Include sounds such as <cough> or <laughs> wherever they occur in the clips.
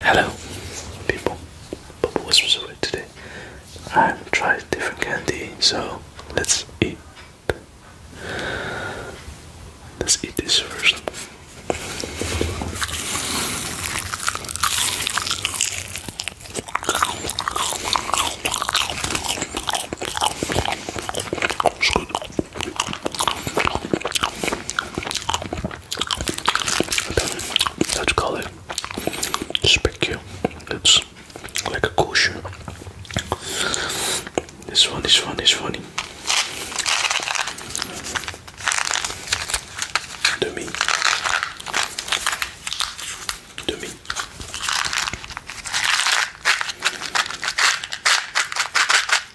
Hello, people. Bubble was away today. i am trying different candy, so let's eat. Let's eat this first. That call it? peculiar. It's like a cushion. This one, this one, this one. Demi. Demi.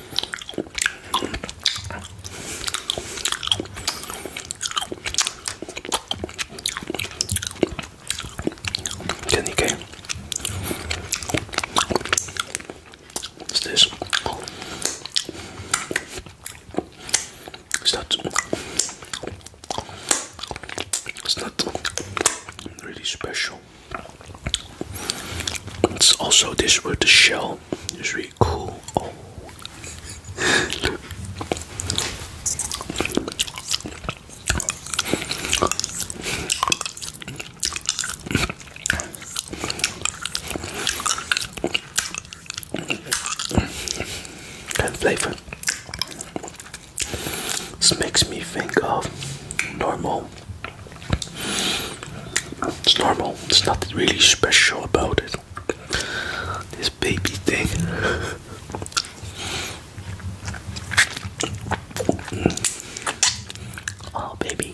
Can you get? What's this? It's not. It's not really special. It's also this with the shell. Just cool. Oh. flavor this makes me think of normal it's normal. It's nothing really special about it. This baby thing. <laughs> Oh, baby.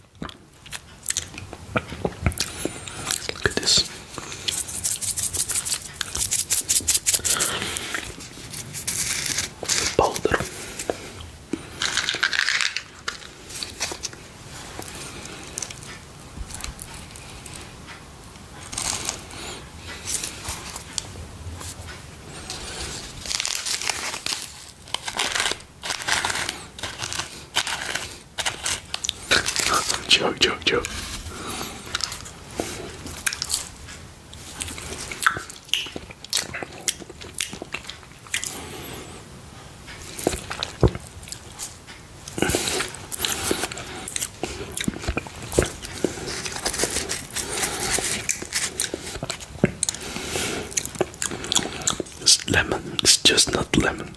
Look at this. powder. 違う違う違う It's lemon, it's just not lemon.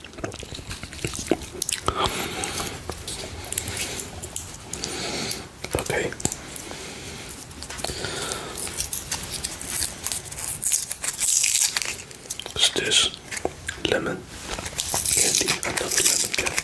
Okay. What's this? Lemon candy, another lemon candy.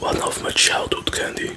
One of my childhood candy.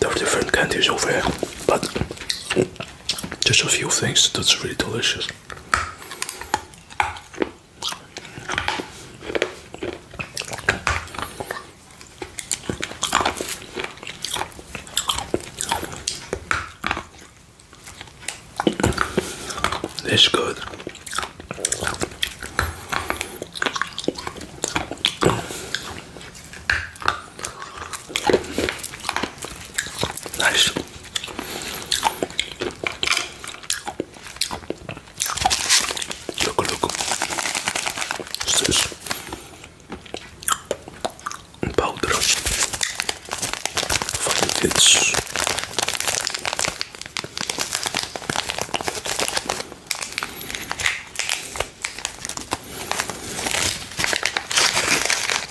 There are different candies over here, but just a few things that's really delicious. It's good. Nice. Look, look. What's this? Powder. Fine, it's.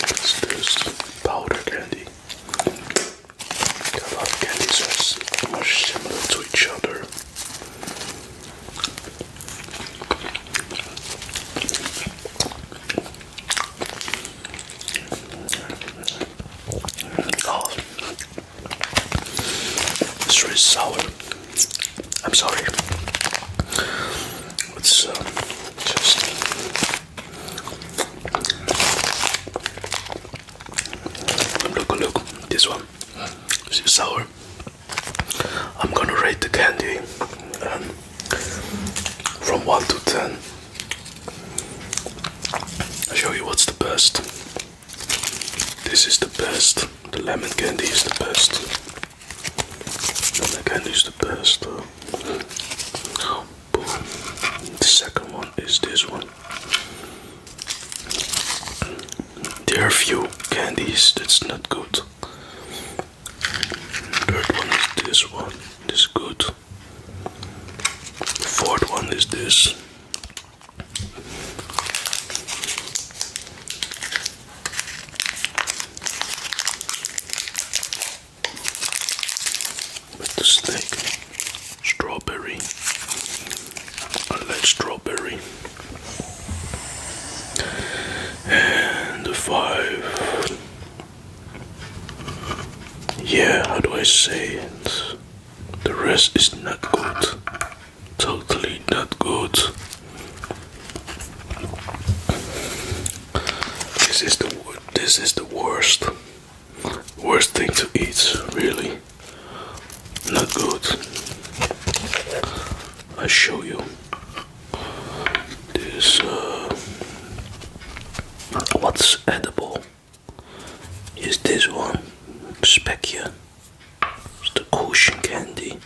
What's this? Powder candy. A lot of candies are similar to each other. Oh. It's really sour. I'm sorry. Let's uh, just look, look. This one is sour. I'm gonna rate the candy um, from one to ten. I'll show you what's the best. This is the best. The lemon candy is the best. Lemon candy is the best. The second one is this one. There are few candies that's not good. Third one is this one. This is good. Fourth one is this. With the snake, strawberry. I like strawberry. And the five. Yeah, how do I say it? The rest is not good. Totally not good. This is the this is the worst worst thing to eat, really. Not good. I show you this uh, what's edible is this one Specia. the cushion candy.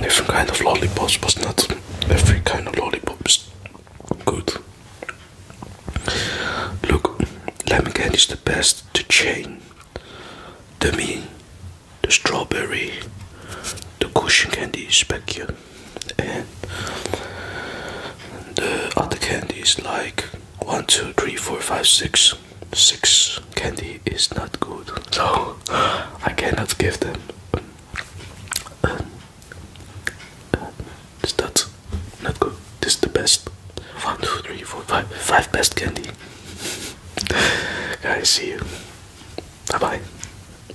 Different kind of lollipops, but not every kind of lollipops good. Look, lemon candy is the best. The chain, the me, the strawberry, the cushion candy, is specia the uh, other candy is like one, two, three, four, five, six. Six candy is not good, so <laughs> I cannot give them. Um, is that not good? This is the best. four, five. Five best candy. I <laughs> see you. Bye bye.